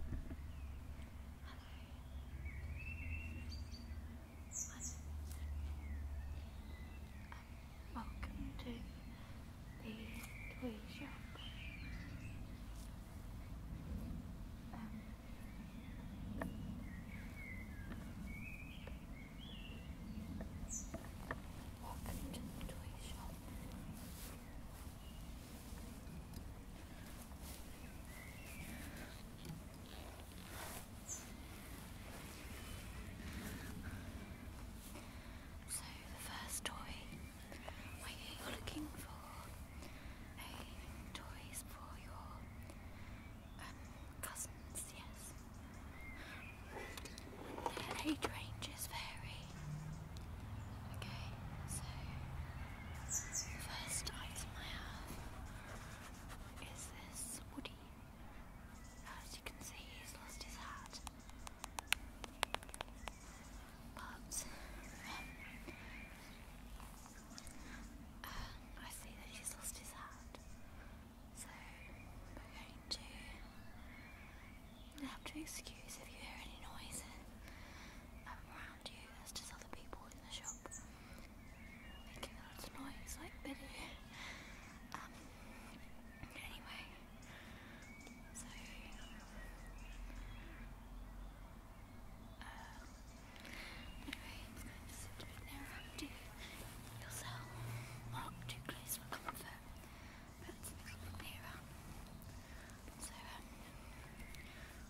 welcome to the toy shop. welcome to the toy shop. So the first toy you looking for toys for your um, cousins, yes. And ranges vary first item I have is this Woody. As you can see, he's lost his hat. But um, I see that he's lost his hat. So we're going to you have to excuse if you hear any noise around you as just other people in the shop making lots of noise like um, anyway, so, um, anyway, it's going to sit a yourself, not too close for comfort, but it's a bit nearer. So, um,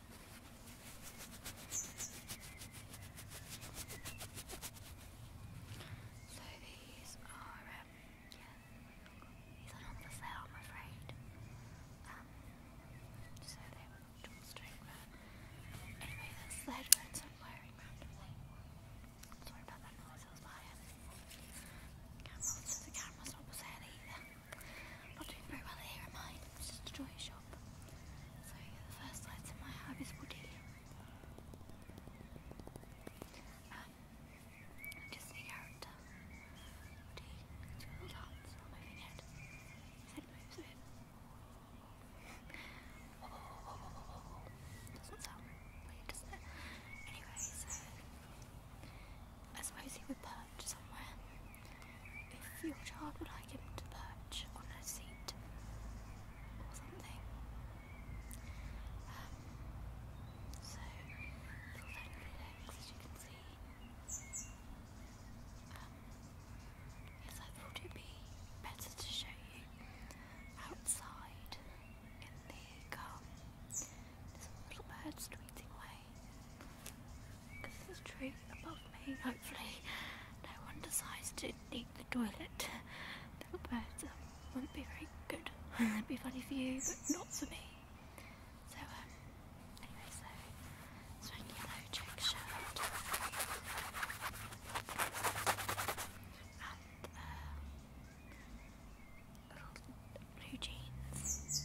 So these are, um, these are not sale, I'm afraid. Um, so they were Anyway, that's headphones i wearing Sorry about that noise, I was behind. Camera, so the camera's not for sale I'm not doing very well here, am I? It's just a toy shop. So the first lights in my hub is Woody. Um, just a character. Woody, it's a little dance, not moving it. His head moves a bit. Doesn't sound really, doesn't it? Anyway, so I suppose he would perch somewhere. If your child would like him to perch on a seat or something. Um, so, little legs, as you can see. Um, yes, I thought it'd be better to show you outside in the garden. little birds tweeting away. This is true above me, hopefully. No one decides to leak the toilet. Little birds um, wouldn't be very good. It'd be funny for you, but not for me. So, um, anyway, so, swing yellow, check shirt. And, uh, blue jeans.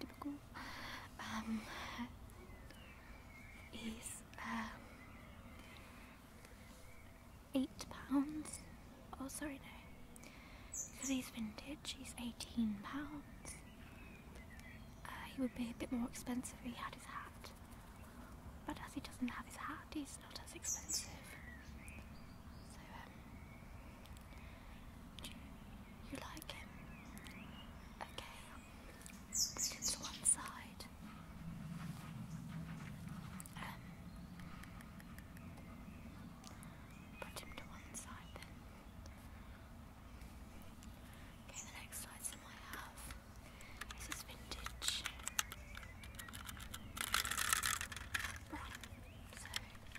Typical. Um, um, eight pounds. Oh, sorry, no. Because he's vintage, he's eighteen pounds. Uh, he would be a bit more expensive if he had his hat. But as he doesn't have his hat, he's not as expensive. Um, you like him? Okay. Um, put him to one side Okay, the next item I have is vintage uh, So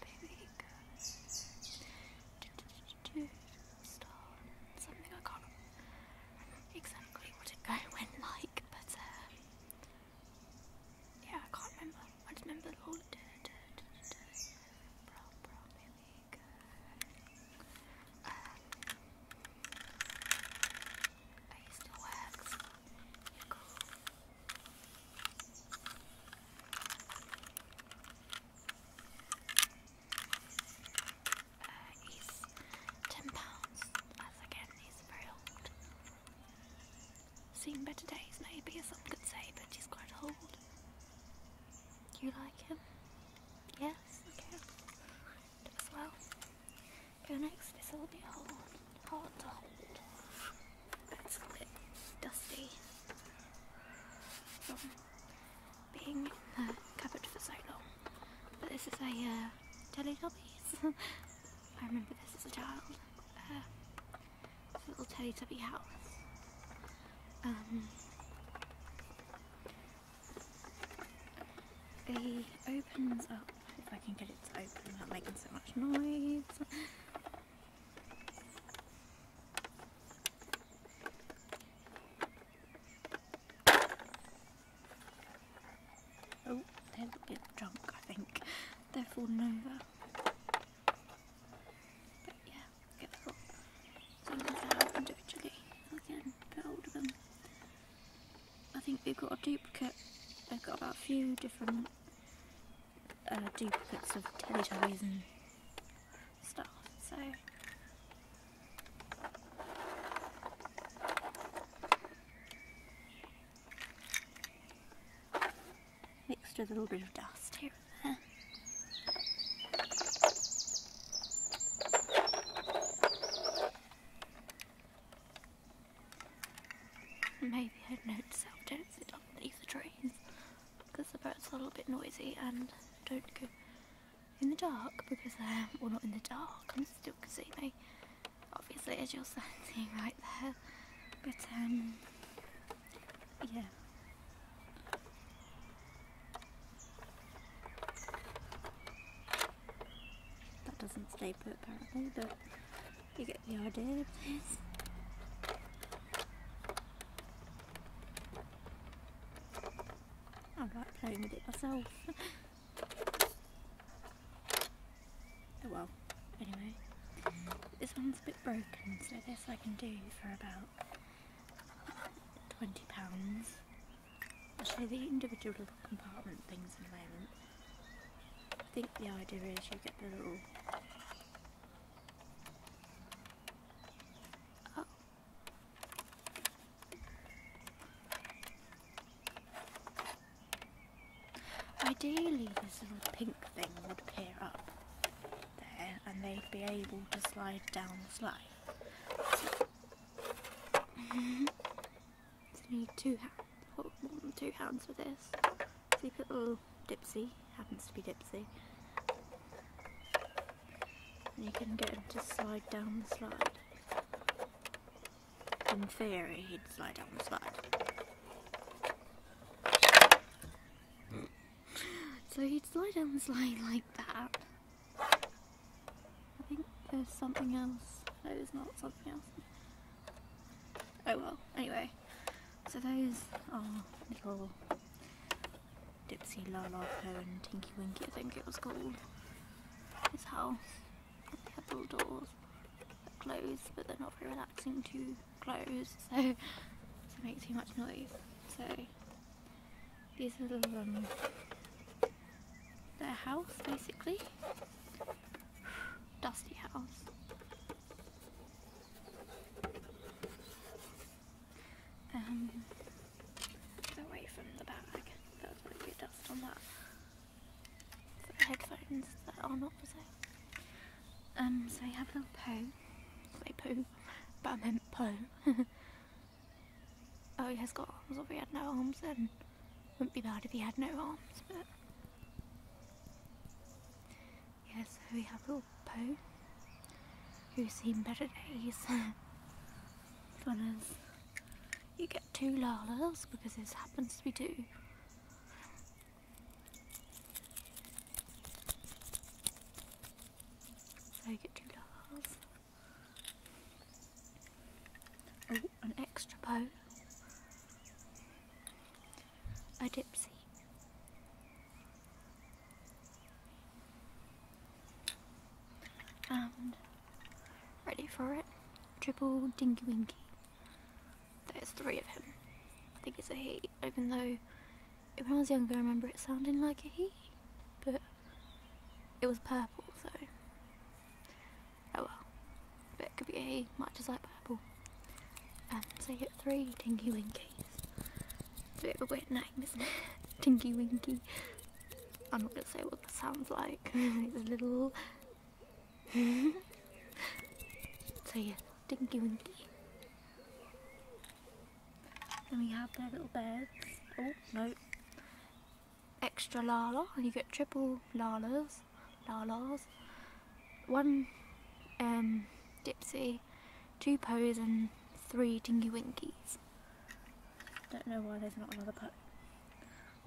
baby. Good. Star. Something I can't remember exactly what it go when like, but um, yeah, I can't remember. I just remember all it did. Bro, bro, baby. Good. Um, I used to work. You're cool he's uh, ten pounds, as again he's very old. Seen better days maybe, as some could say, but he's quite old. You like him? Yes, okay. well. Your next is will be hard, hard to hold it's a bit dusty from being in the cupboard for so long. But this is a uh, Teletubbies. I remember this as a child. Uh, a little Teletubby house. Um, it opens up, if I can get it to open without making so much noise. Oh, they're a bit drunk, I think. They're falling over. But yeah, get the rock. So you can have individually. Again, a older I think we have got a duplicate. They've got about a few different uh, duplicates of Teletubbies and stuff. So. Mixed with a little bit of dust here and there. Maybe I'd notice how dense it underneath the trees because the birds are a little bit noisy and don't go in the dark because um, well not in the dark, I'm still can see me obviously as you're standing right there but um yeah that doesn't stay put apparently but you get the idea of I like playing with it myself. oh well, anyway. This one's a bit broken, so this I can do for about £20. Actually, the individual compartment things in the moment. I think the idea is you get the little Oh. Ideally, this little pink thing would appear up there and they'd be able to slide down the slide. So, so you need two hands, more than two hands for this if little Dipsy, happens to be Dipsy. you can get him to slide down the slide. In theory, he'd slide down the slide. so he'd slide down the slide like that. I think there's something else. No, there's not something else. Oh well, anyway. So those are little Dipsy La, Poe and Tinky Winky, I think it was called. His house. couple have doors that close, but they're not very relaxing to close, so they make too much noise. So these are little um, their house basically. Dusty house um, away from the bag. There's going to be dust on that. So headphones that are not for sale. Um, so you have a little poo. Say poo, but I meant poo. oh, he has got arms. If he had no arms, then wouldn't be bad if he had no arms, but Yes, so we have little Poe, who's seen better days. Fun is, you get two Lalas because this happens to be two. So you get two Lalas. Oh, an extra Poe a dipsy. And ready for it, triple dinky winky. There's three of him. I think it's a he, even though when I was younger I remember it sounding like a he, but it was purple, so oh well. But it could be a he, much as like purple. And so you get three dinky winky. It's a bit of a weird name, isn't it? Tinky Winky. I'm not gonna say what that sounds like. it's a little. so yeah, Tinky Winky. Then we have their little beds. Oh no. Extra lala, you get triple lalas, lalas. One um, Dipsy two Poes and three dinky Winkies. Don't know why there's not another Po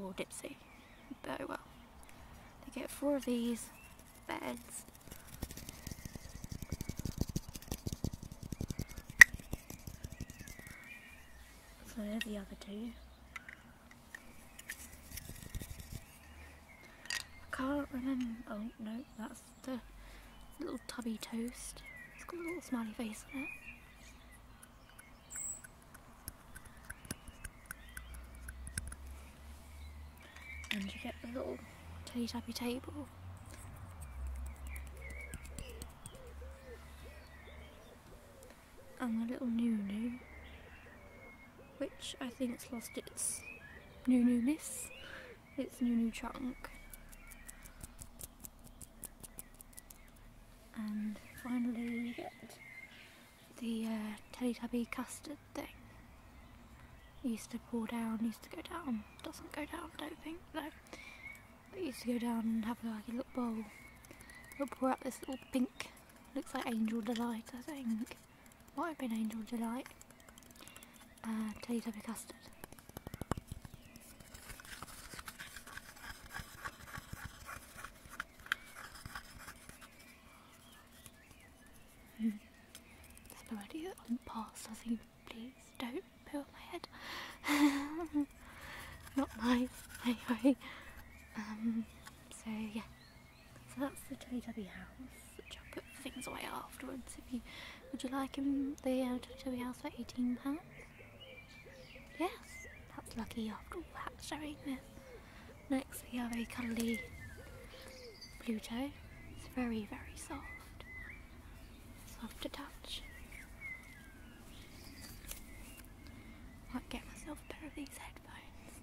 or Dipsy, Very well. They get four of these beds. So there's the other two. I can't remember. Oh no, that's the little tubby toast. It's got a little smiley face on it. And you get the little teddy tappy table. And the little new new, which I think it's lost its new newness. It's new, new Chunk. And finally you get the uh, Teletubby custard thing. Used to pour down, used to go down. Doesn't go down, don't think, no. used to go down and have like a little bowl. It'll pour out this little pink, looks like Angel Delight, I think. Might have been Angel Delight uh, custard. already hmm. on I think please don't poo my head. Not nice, anyway. Um, so yeah, so that's the Teletubby house which I'll put things away afterwards. would you like him the uh, house for eighteen pounds? Yes, that's lucky after all that showing this. Next we have a cuddly Pluto. It's very very soft, soft to touch. Might get myself a pair of these headphones.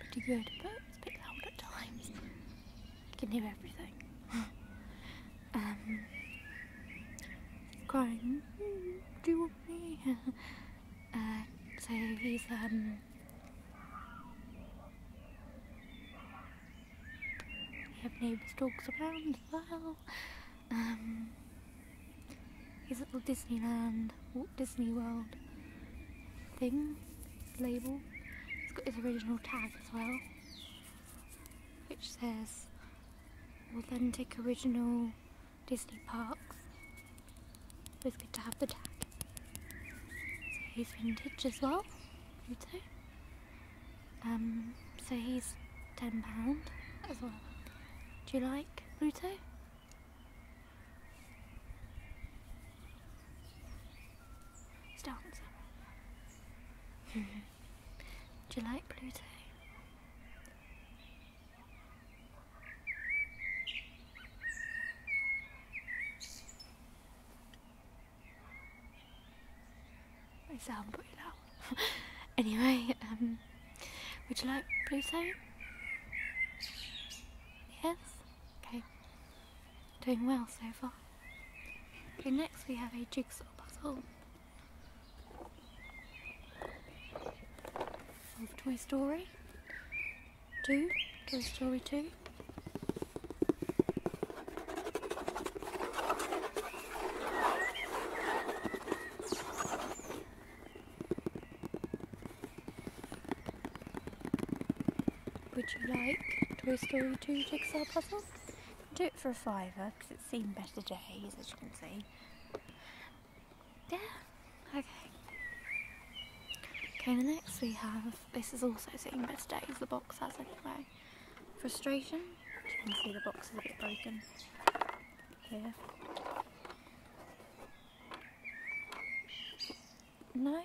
Pretty good, but it's a bit loud at times. You can do everything. um, crying, do you want me? uh, say he's, um, we have neighbours, dogs around as well. Um, his little Disneyland, Walt Disney World thing, label. It's got his original tag as well which says authentic original Disney parks It's good to have the tag so he's vintage as well Pluto um, so he's £10 as well do you like Pluto? He's Do you like Pluto? I sound pretty loud. anyway, um, would you like Pluto? Yes? Okay. Doing well so far. Okay, next we have a jigsaw puzzle Toy Story 2, Toy Story 2. Would you like Toy Story 2 jigsaw puzzle? do it for a fiver because it's seen better days as you can see. Yeah, okay. Okay, next we have, this is also seen better days, the box has anyway. Frustration, you can see the box is a bit broken here. No,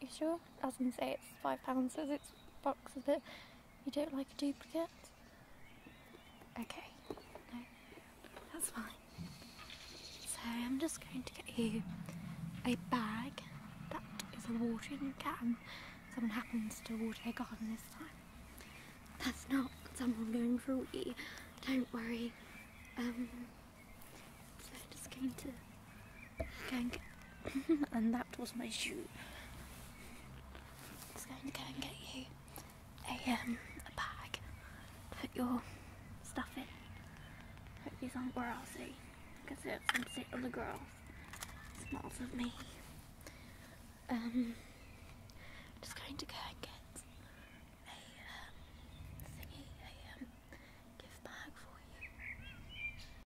you sure? I was say it's five pounds as it's boxes, but you don't like a duplicate? Okay, that's fine. So I'm just going to get you a bag that is a watering can. Someone happens to water their garden this time. That's not someone going fruity, don't worry. Um, so I'm just going to and, that was my shoe. It's going to go and get you a, um, a bag to put your stuff in. Put these on grassy because it's some sit on the girls. It smells of me. Um, just going to go and get a um, um for you.